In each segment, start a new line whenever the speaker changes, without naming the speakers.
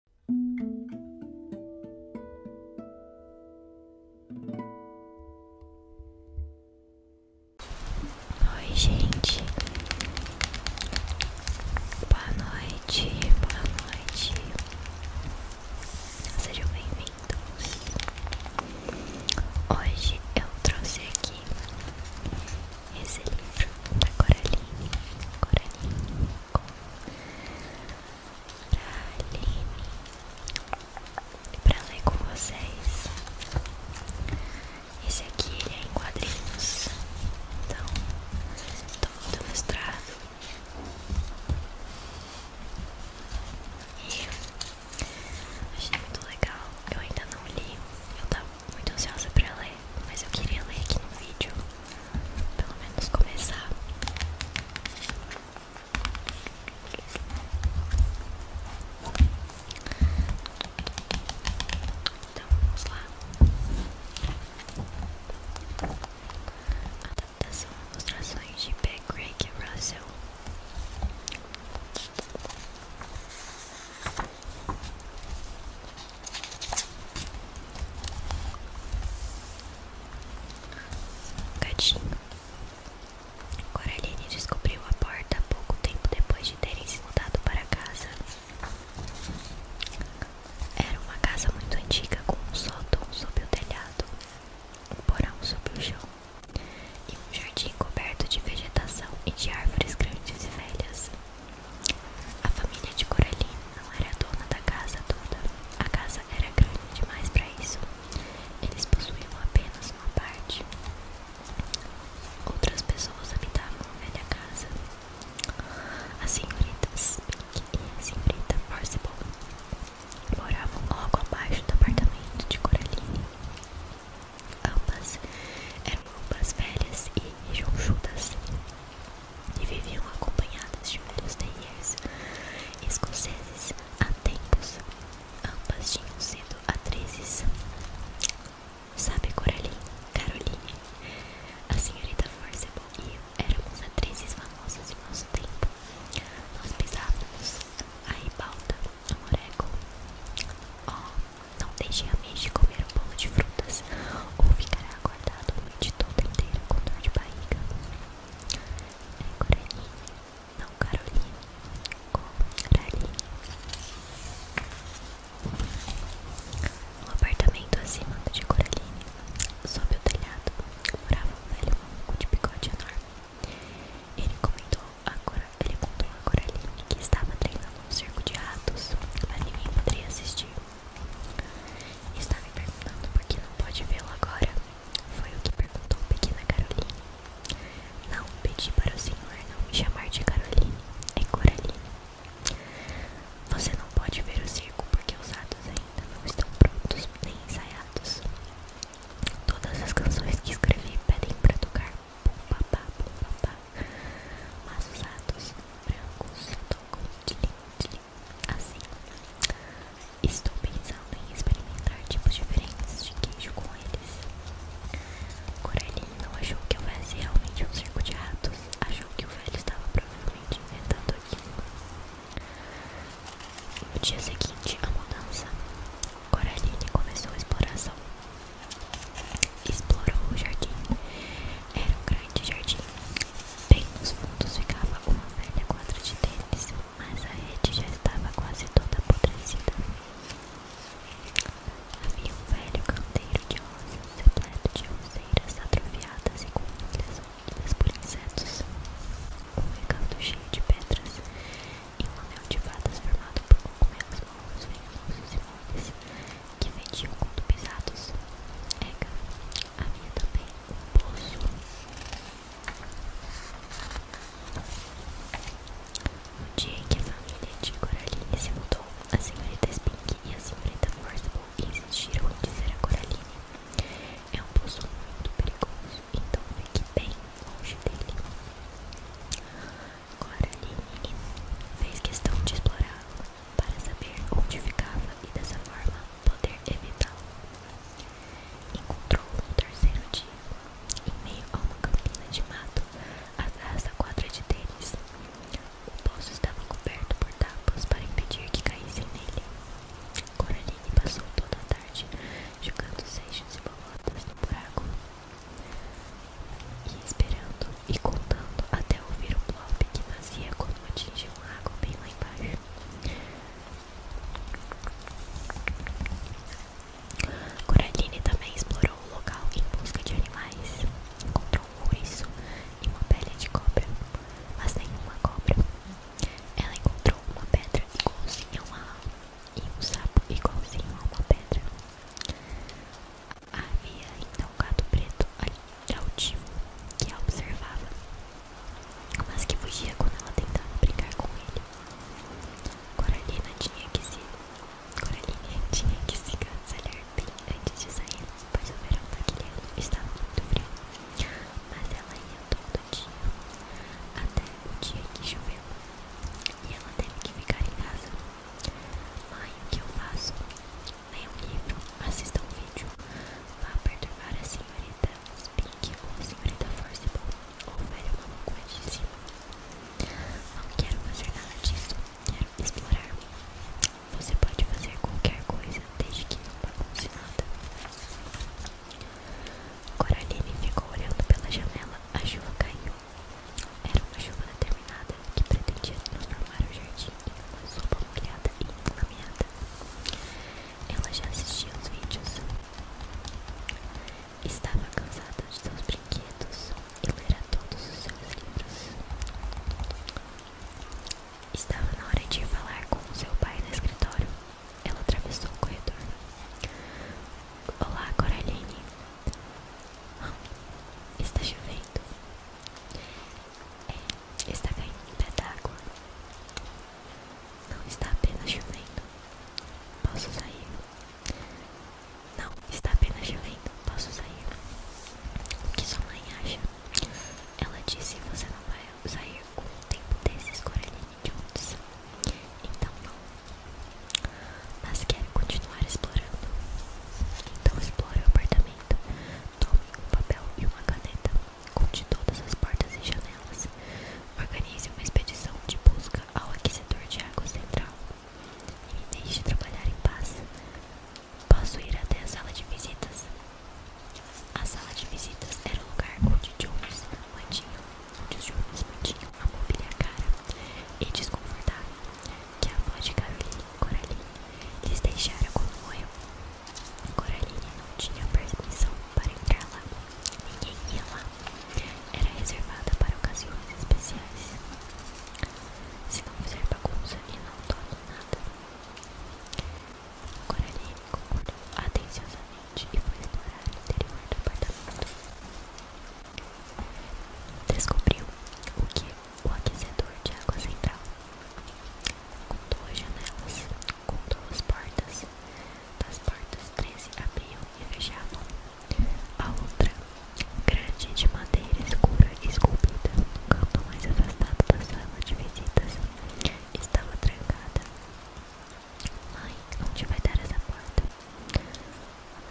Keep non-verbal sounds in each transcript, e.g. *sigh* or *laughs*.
Oi, gente. Boa noite, boa noite. Sejam bem-vindos. Hoje eu trouxe aqui esse livro da Coraline. Coraline pra pra ler com vocês. Esse aqui é em quadrinhos, então todo ilustrado. E achei muito legal. Eu ainda não li, eu tava muito ansiosa pra ler, mas eu queria ler aqui no vídeo pelo menos começar. Então vamos lá. Adaptação e ilustrações de P. Craig Russell. Gatinho. Coraline descobriu a porta pouco tempo depois de terem se mudado para casa. Era uma casa muito antiga com um sótão sob o telhado, um porão sob o chão e um jardim coberto de vegetação e de árvores grandes e velhas. A família de Coraline não era dona da casa toda. A casa era grande demais para isso. Eles possuíam apenas uma parte. Outras pessoas habitavam a velha casa. A senhorita Spink e a senhorita Forcible moravam logo abaixo do apartamento de Coraline. Ambas eram roupas velhas e rechonchudas e viviam acompanhadas de velhos terriers escoceses há tempos. Ambas tinham sido atrizes. Sabe, Coraline? Caroline? A senhorita Forcible e eu éramos atrizes famosas de nosso tempo. Nós pisávamos a ribalta no moreco. Oh, não deixe a mente comer um bolo de frutas ou ficará acordado de todo toda inteira com dor de barriga. É Coraline, não Caroline, Coraline. No apartamento acima de Coraline, sob o telhado, morava um velho maluco de bigode enorme. Ele comentou agora, ele contou a Coraline que estava treinando um circo de ratos, mas ninguém poderia assistir. Estava me perguntando por que não pode vê-lo agora? Foi o que perguntou pequena Caroline. Não pedi para o senhor não me chamar de Caroline, é Coraline. Você não pode ver o circo porque os atos ainda não estão prontos nem ensaiados. Todas as canções que escrevi pedem para tocar pum papá, pum papá. Mas os atos brancos tocam tlim, tlim, Assim, estou pensando em experimentar tipos diferentes de queijo com eles. Coraline não achou que fosse é realmente um circo de ratos, achou que o velho estava provavelmente inventando aquilo. No dia seguinte à mudança, Coraline começou a exploração. Explorou o jardim era um grande jardim. Bem nos fundos ficava uma velha quadra de tênis, mas a rede já estava quase toda apodrecida. Havia um velho canteiro de rosas, repleto de roseiras atrofiadas e com folhas úmidas por insetos. Um recanto cheio de pedras e um anel de fadas formado por cogumelos mortos, venenosos e moles que vendiam quando pisados. Ega, a minha também, um poço. No dia em que a família de Coraline se mudou, a senhorita Spink e a senhorita Forcible insistiram em dizer a Coraline: É um poço muito perigoso, então fique bem longe dele. Coraline fez questão de explorá-lo para saber onde ficava e dessa forma poder evitá-lo. Encontrou-o no terceiro dia, em meio a uma campina de mato, atrás da quadra de tênis. O poço estava coberto por tapas para impedir que caíssem nele. Coraline passou toda a tarde jogando seixos e bolotas no buraco e esperando e contando até ouvir o blob que nascia quando atingia um lago bem lá embaixo. Coraline também explorou o local em busca de animais. Encontrou um ouriço e uma pele de cobra, mas nenhuma cobra. Ela encontrou uma pedra igualzinha a uma e um sapo igualzinho a uma pedra. Havia então um gato preto ali, altivo, que a observava, mas que fugia quando ela tentava brincar com ele. Coralina tinha que se. Coralina tinha que se cancelar bem antes de sair, pois o verão daquele ano estava muito frio. Mas ela ia todo dia, até o dia que choveu, e ela teve que ficar em casa. Mãe, o que eu faço? leia um livro, assista um vídeo, vá perturbar a senhorita Spink ou a senhorita Forcible ou o velho maluco é de cima. Não quero fazer nada disso, quero explorar. Você pode fazer qualquer coisa desde que não bagunce nada. Coraline ficou olhando pela janela, a chuva caiu. Era uma chuva determinada, que pretendia transformar o jardim em uma sopa e uma inflameada. Ela já assistia os vídeos. Estava cansada de seus brinquedos e lera todos os seus livros. Estava na hora de ir falar com seu pai no escritório. Ela atravessou o corredor. Olá, Coraline. Está chovendo. É, está caindo um pé d'água. Não está apenas chovendo. Posso sair? Não, está apenas chovendo. Posso sair? O que sua mãe acha? Ela disse que você não vai sair com o tempo desses corelinhos de Então não. Mas quer continuar explorando. Então explore o apartamento. Tome um papel e uma caneta. Conte todas as portas e janelas. Organize uma expedição de busca ao aquecedor de água central. E me deixe trabalhar em paz. Posso ir até a sala de visitas? A sala de visitas era o lugar onde Jones mantinha, onde os Jones mantinham a mobília cara e desconfortável que a avó de Gavilinha e Coraline lhes deixara quando morreu. Coraline não tinha permissão para entrar lá. Ninguém ia lá. Era reservada para ocasiões especiais. Se não fizer bagunça e não toque nada. Coraline concordou atenciosamente e foi explorar o interior do apartamento. Descobriu o que o aquecedor de água central, com duas janelas, com duas portas. Das portas, três abriam e fechavam. A outra, grande de madeira escura e esculpida, no canto mais afastado da sala de visitas, estava trancada. Mãe, onde vai dar essa porta?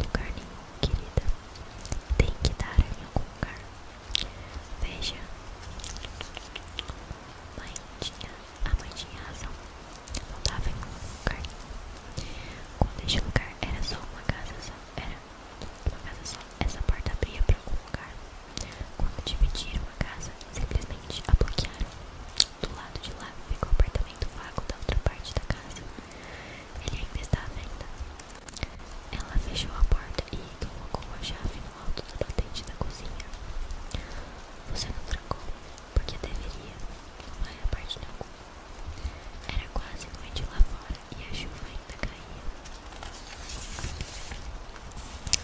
Lugar nenhum, querida. Tem que dar em algum lugar. Veja, mãe tinha, a mãe tinha razão. Faltava em um lugar. Quando este lugar era só uma casa só, era uma casa só. Essa porta abria para algum lugar. Quando dividiram a casa, simplesmente a bloquearam. Do lado de lá ficou o apartamento vago da outra parte da casa. Ele ainda estava à ela fechou a porta e colocou a chave no alto do batente da cozinha. Você não trancou, porque deveria, não vai a parte nenhuma. Era quase noite lá fora e a chuva ainda caía.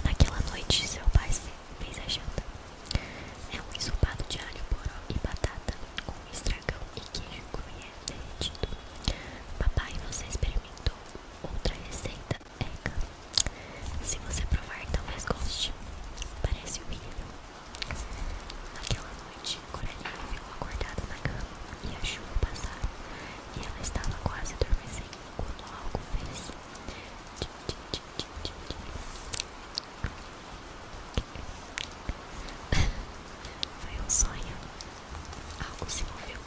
Naquela noite, seu pai fez a janta. É um ensopado de alho, poró e batata, com estragão e queijo gruyère derretido. Papai, você experimentou? Outra receita é Se você provar, talvez goste. Parece horrível. Naquela noite, Coraline ficou acordada na cama e a chuva passava. E ela estava quase adormecendo quando algo fez. *laughs* Foi um sonho. Algo se moveu.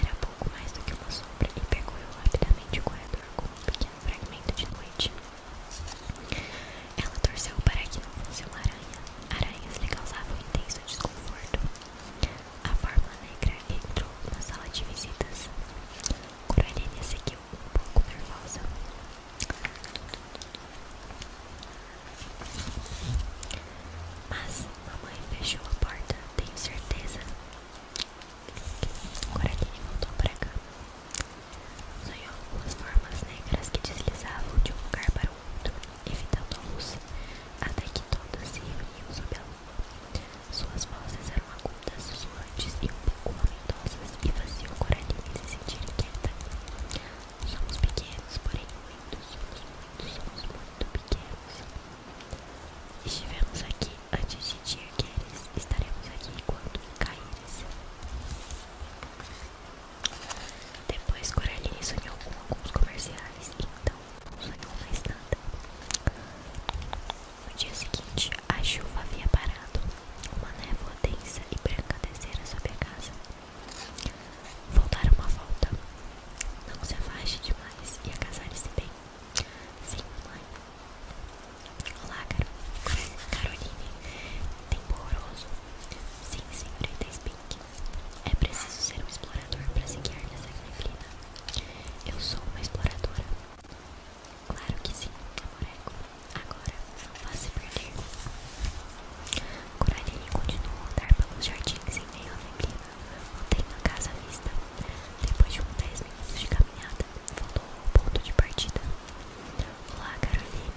Era pouco mais do que uma sombra e percorreu rapidamente o corredor como um pequeno fragmento de noite. Ela torceu para que não fosse uma aranha. Aranhas lhe causavam intenso desconforto. A forma negra entrou na sala de visitas. Coralina seguiu um pouco nervosa. Mas mamãe fechou a porta, tenho certeza. Coraline voltou pra cá. Sonhou algumas formas negras que deslizavam de um lugar para o outro, evitando a luz, até que todas se reuniam sob a lua. Suas vozes eram agudas, sussurrantes e um pouco lamentosas e faziam Coraline se sentir inquieta. Somos pequenos, porém muitos, somos muitos, somos muito pequenos. Gutierrez. Estivemos aqui antes de ti Tiergueres. Estaremos aqui enquanto caíres. Depois Coraline sonhou com alguns comerciais, então não sonhou mais nada. No dia seguinte, a chuva havia parado. Uma névoa densa e branca descera sobre a casa. Vou uma volta. Não se afaste demais e agasalhe-se bem. Sim, mãe. Olá, Caro... Caroline. Temporoso. Sim, senhorita Spink. É preciso ser um explorador para se guiar nessa neblina. Eu sou uma exploradora. Claro que sim, Amoreco. Agora, não faça se perder. Coraline continua a andar pelos jardins em meio à neblina. Mantém a casa à vista. Depois de uns 10 minutos de caminhada, voltou ao ponto de partida. Olá, Caroline.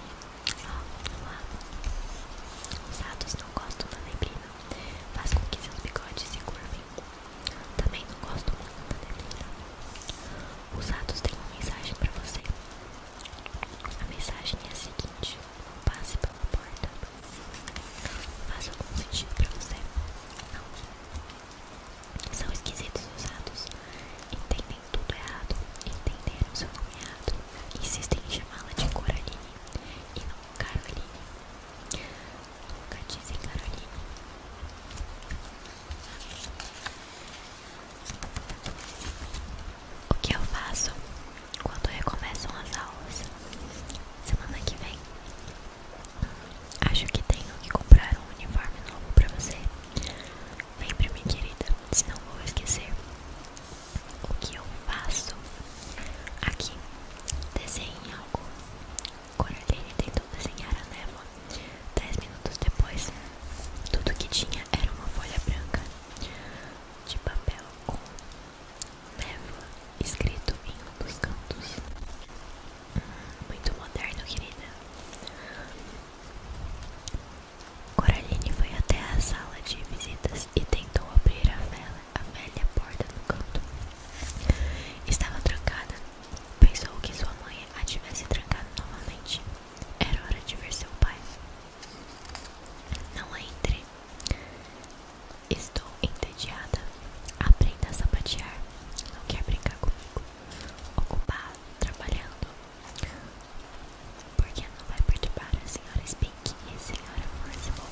Ah, olá. Os ratos não gostam da neblina. Faz com que seus bigodes se curvem. Também não gosto muito da neblina. Os ratos têm uma mensagem para você. A mensagem é a seguinte: não passe pela porta. Faz algum sentido pra você? Não. São esquisitos usados. Entendem tudo errado. Entenderam seu nome errado. Insistem em chamá-la de Coraline. E não Caroline. Nunca dizem Caroline. O que eu faço? quando recomeçam as aulas. Semana que vem. Acho que tenho que comprar um uniforme novo pra você. Lembre-me, querida, senão vou esquecer o que eu faço. Aqui, desenhe algo. Coraline tentou desenhar a névoa. Dez minutos depois, tudo que tinha era uma folha branca de papel com Névoa, escrito em um dos cantos. Hum, muito moderno, querida. Coraline foi até a sala de visitas e tentou abrir a, vela, a velha porta do canto. Estava trancada. Pensou que sua mãe a tivesse trancado novamente. Era hora de ver seu pai. Não entre. Estou entediada. Aprenda a sapatear. Não quer brincar comigo? Ocupado, trabalhando. Porque não vai perturbar a senhora Spink e a senhora Forcible.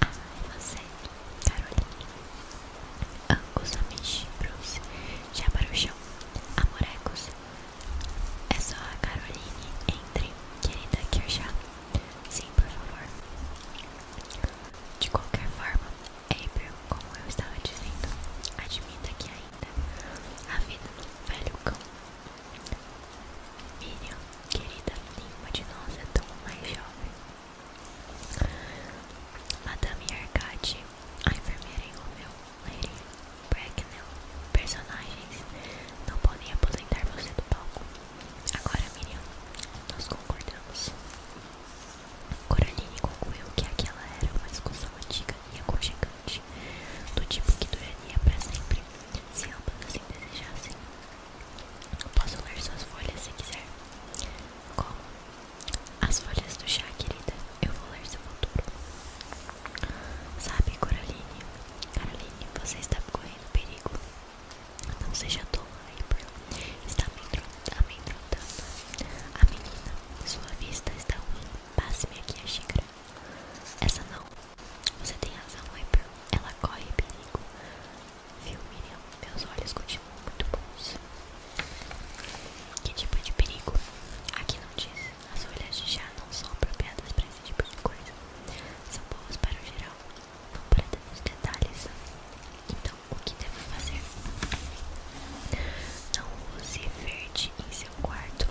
Ai, você, Caroline. Angus Amishbrus já para o chão. Amorecos. É só a Caroline. Entre, querida, que já. Sim, por favor. De qualquer forma, April, como eu estava dizendo, admita que ainda a vida do velho cão. Miriam, querida, nenhuma de nós é tão mais jovem. Madame Arcade, a enfermeira em Romeu, Lady Bracknell, personagens não podem aposentar você do palco. Agora, Miriam, nós concordamos. Coraline concluiu que aquela era uma discussão antiga e aconchegante, do tipo que duraria para sempre, se ambas assim desejassem. Eu posso ler suas folhas se quiser. Como? As folhas do chá, querida. Eu vou ler seu futuro. Sabe, Coraline? Caroline, você está correndo perigo. Não seja tola, April. Está me amedrontando. A menina, sua vista está ruim. Passe-me aqui a xícara. Essa não. Você tem razão, April. Ela corre perigo. Viu, Miriam? Meus olhos continuam muito bons. Que tipo de perigo? Aqui não diz. As folhas de chá não são apropriadas para esse tipo de coisa. São boas para o geral, não para tantos detalhes. Então, o que devo fazer? Não use verde em seu quarto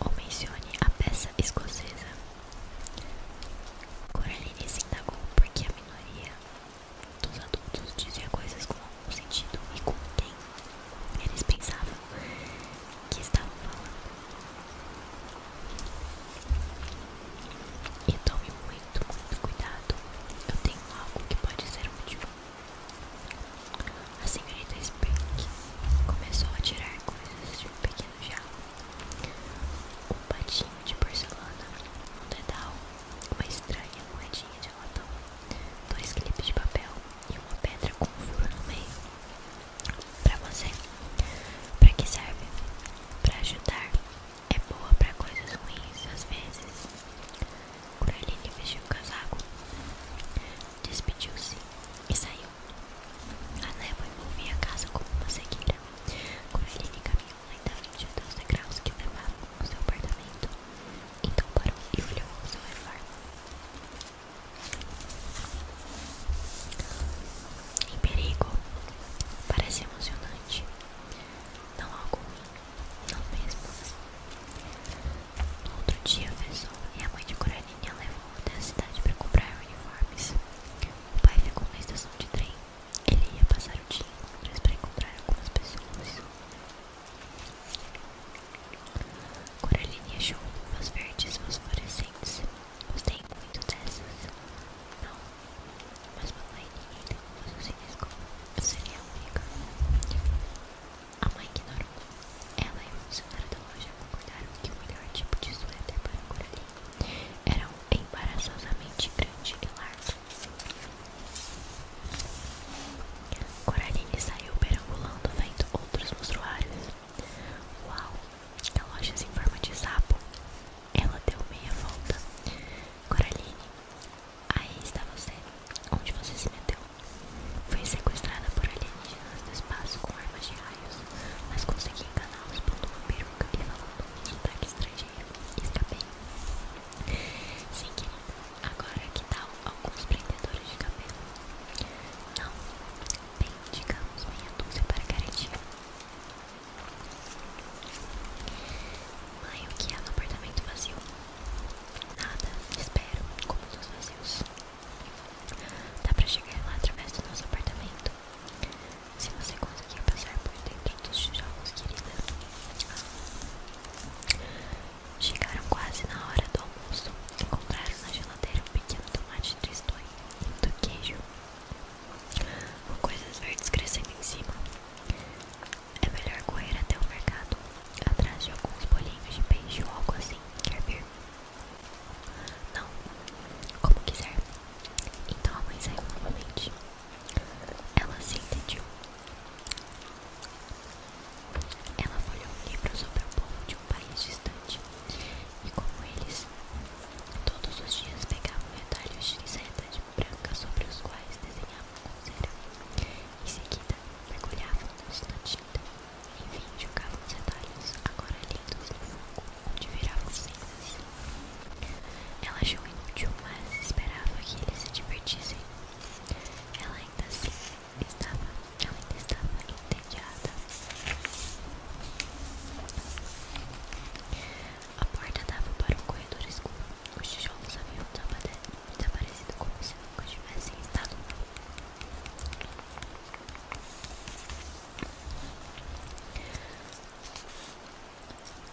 ou mencione a peça escocesa. Coraline se indagou porque a minoria dos adultos dizia coisas com algum sentido e com quem eles pensavam que estavam falando. E tome muito, muito cuidado. Eu tenho algo que pode ser útil. A senhorita Speck começou a tirar coisas de um pequeno jarro. Um patinho de porcelana, um dedal, uma estranha moedinha de latão, dois clipes de papel e uma pedra com um furo no meio. Pra você, pra que serve? Pra ajudar. É boa pra coisas ruins às vezes. Coraline vestiu o casaco, despediu-se e saiu. A névoa envolvia a casa como uma cegueira. Coraline caminhou ainda 22 degraus que levavam ao seu apartamento. Então parou e olhou ao seu redor. Em perigo, parece emocionante. Não algo ruim, não mesmo. No outro dia, o Vessou e a mãe de Coraninha levou até a cidade para comprar uniformes. O pai ficou na estação de trem ele ia passar o dia em para encontrar algumas pessoas. Coraline achou uvas verdes fosforescentes. tem muito dessas. Não, mas mamãe, ninguém tem uvas sem escova. Eu seria a única. A mãe ignorou. Ela e o funcionário da loja concordaram que o melhor tipo de suéter para Coraline era um embaraçosamente grande e largo. Coraline saiu perambulando vendo outros mostruários. Uau! Galochas em forma de sapo. Ela deu meia volta. Coraline, aí está você. Onde você se meteu? Foi sequestrada por alienígenas do espaço com armas de raios, mas consegui enganá-los pondo uma peruca e falando um sotaque estranho dinheiro está bem. Sim, querida. Agora que tal tá alguns prendedores de cabelo? Não. Bem, digamos meia dúzia para garantir. Mãe, o que há é no apartamento vazio? Nada, espero, como dos vazios. Dá pra chegar lá através do nosso apartamento. Se você conseguir passar por dentro dos tijolos, querida. Chegaram quase na hora do almoço. compraram na geladeira um pequeno tomate tristonho e do queijo. Com coisas verdes crescendo em cima. É melhor correr até o mercado, atrás de alguns bolinhos de peixe ou algo assim. Quer ver Não, como quiser. Então a mãe saiu novamente. Ela se entediou ela folheou um livro sobre o povo de um país distante, e como eles, todos os dias pegavam retalhos de seta de branca sobre os quais desenhavam com cera. Em seguida, mergulhavam-nos na tinta. Enfim, jogavam os retalhos, agora lindos no fogo, onde viravam cinzas. Ela achou inútil, mas esperava que eles se divertissem. Ela ainda assim estava, ainda estava entediada. A porta dava para um corredor escuro. Os tijolos haviam desaparecido como se nunca tivessem estado lá.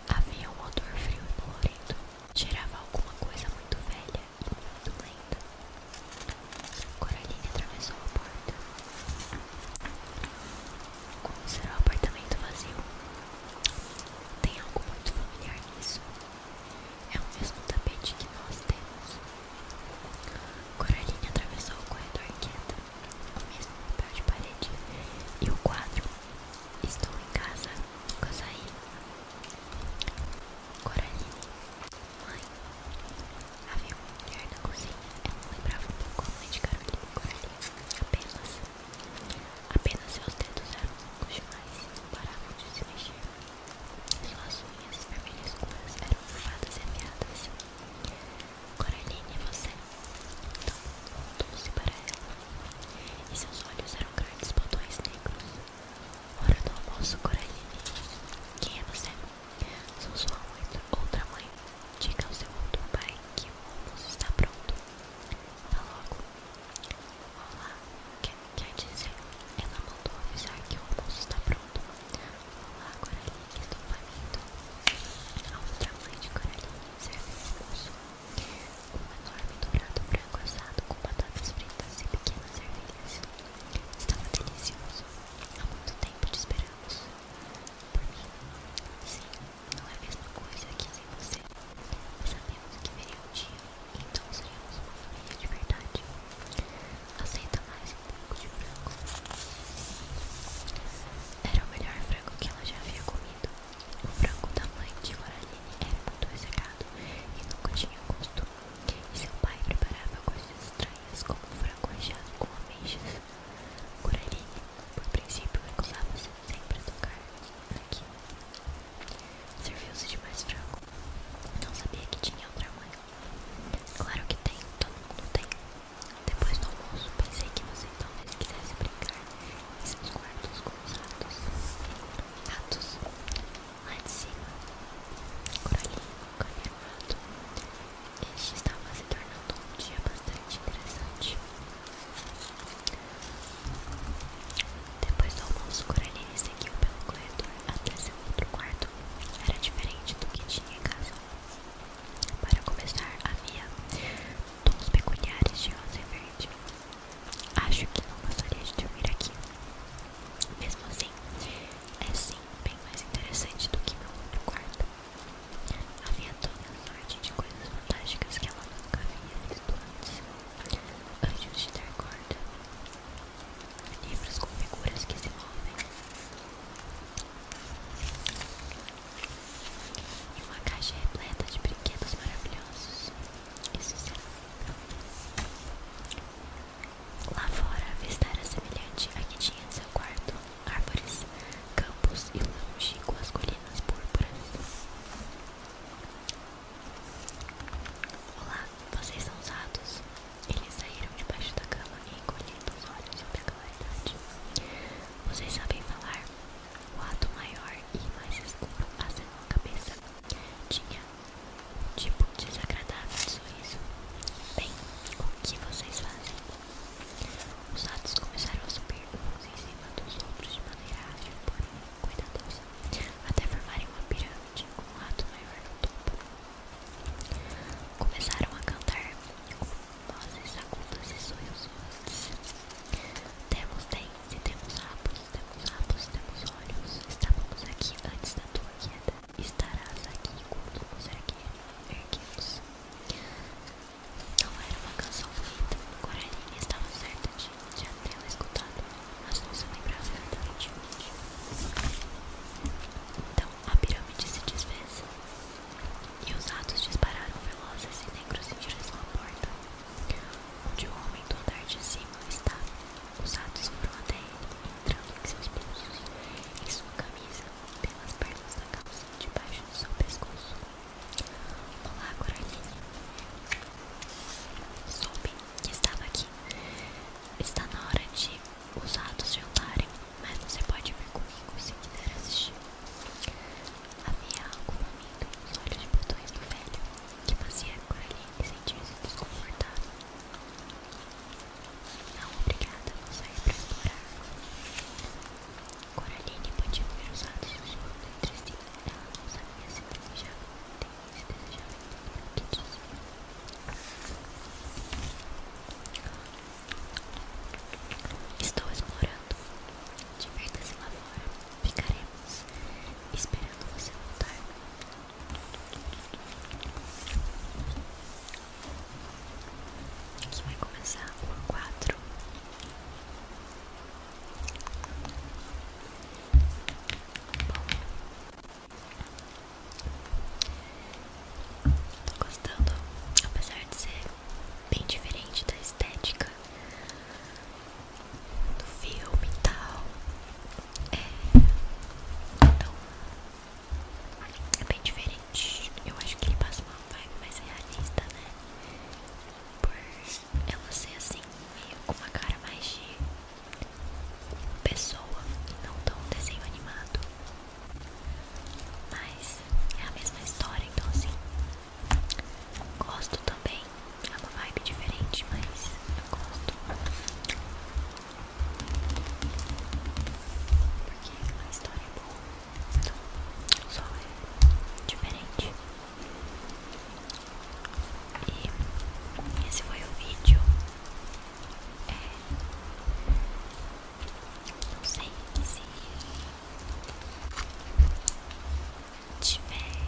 Havia um odor frio e dolorido. Cheirava alguma coisa muito velha e muito lenta. Coraline atravessou a porta. Como será o apartamento vazio? Tem algo muito familiar nisso. É o mesmo tapete que nós temos. Coraline atravessou o corredor quente, o mesmo papel de parede e o quadro Estou em casa, Kosai Coraline Mãe Havia uma mulher na cozinha Ela lembrava um pouco a mãe de Carolina Coraline Apenas Apenas seus dedos eram longos demais E não paravam de se mexer Suas unhas vermelhas escuras eram curvadas e afiadas Coraline, é você? Então voltou-se para ela e seus olhos eram grandes botões negros. Hora do almoço, Coraline. Quem é você? Sou sua mãe outra mãe. Diga ao seu outro pai que o almoço está pronto. Vá logo. Olá, quer, quer dizer, ela mandou avisar que o almoço está pronto. Olá, Coraline, estou faminto. A outra mãe de Coraline serve o almoço. Um enorme dobrado branco assado com batatas fritas e pequenas ervilhas. Estava delicioso. Há muito tempo te esperamos. Por mim? Sim, não é a mesma coisa aqui sem você. sabemos que viria um dia, então seríamos uma família de verdade. Aceita mais um pouco de frango. Era o melhor frango que ela já havia comido. O frango da mãe de Coraline era muito ressecado e nunca tinha gosto. E seu pai preparava coisas estranhas, como frango recheado com ameixas. Coraline, por princípio, recusava-se sempre a tocar aqui. Serviu-se de mais frango. Não sabia que tinha outra mãe. Claro que tem, todo mundo tem. Depois do almoço, pensei que você talvez quisesse brincar e seus quartos com os ratos. Ratos lá de cima. Coralinho, canelado. Este estava se tornando um dia bastante interessante. Depois do almoço, Coraline seguiu pelo corredor até seu outro quarto. Era diferente do que tinha em casa. Para começar, havia tons peculiares de rosa e verde. Acho que não gostaria de dormir aqui. Mesmo assim, é sim bem mais interessante do que meu outro quarto. Havia toda sorte de coisas fantásticas que ela nunca havia visto antes. Anjos de dar corda, livros com figuras que se movem, e uma caixa repleta de brinquedos maravilhosos. Isso será. Lá fora, a vista era semelhante a que tinha em seu quarto: árvores, campos e longe com as colinas púrpuras. Olá, vocês são usados? Eles saíram debaixo da cama e encolhendo os olhos sobre a claridade. Vocês sabem falar? O rato maior e mais escuro acenou a cabeça. Tinha um tipo desagradável de sorriso. Bem, o que vocês fazem? Os atos começaram a subir uns em cima dos outros de maneira ágil, porém cuidadosa, até formarem uma pirâmide com um rato maior no topo. Começaram a cantar vozes agudas e sorrisos. Temos 10 se temos rabos, temos rabos, temos olhos. Estávamos aqui antes da tua queda. Estarás aqui quando nos erguemos. Não era uma canção bonita. Coraline estava certa de já tê-la escutado, mas não se lembrava verdadeiramente. Então a pirâmide se desfez. E os atos dispararam velozes e negros em direção à porta. Onde o homem do andar de cima estava, os atos foram até ele, entrando em seus pulsos, em sua camisa, pelas pernas da calça, debaixo do seu pescoço. Olá, Coraline. Soube que estava aqui. Está na hora de os atos jantarem, mas você pode vir comigo se quiser assistir. Havia algum momento nos olhos de botões do velho que fazia Coraline sentir-se desconfortável. Não, obrigada, vou sair para explorar. Coraline podia ver os atos sussurros de si. Ela não sabia se desejava se desejava entender tudo que dizia. Estou explorando. Divirta-se lá fora. Ficaremos esperando você voltar. Que vai começar por quatro. Bom, tô gostando, apesar de ser bem diferente da estética do filme e tal. É. Então. É bem diferente. Eu acho que ele passa uma vibe mais realista, né? Por ela ser assim, meio com uma cara mais de pessoa não tão desenho animado. Mas é a mesma história, então assim, Gosto também. É uma vibe diferente, mas eu gosto. Porque é a história é boa. Então, só é diferente. E esse foi o vídeo. É, não sei se tiver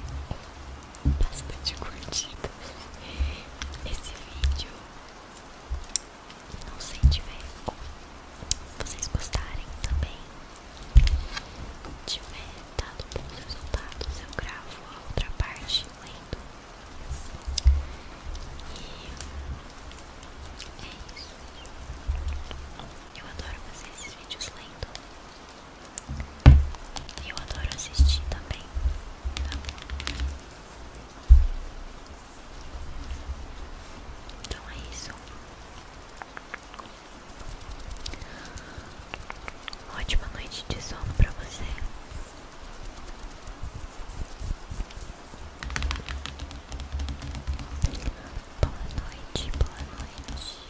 bastante curtidas esse vídeo, não sei tiver vocês gostarem também, tiver dado bons resultados, eu gravo a outra parte lendo. E é isso. Eu adoro fazer esses vídeos lendo. Eu adoro assistir também. Então é isso. Ótima noite de sono para você. Boa noite, boa noite.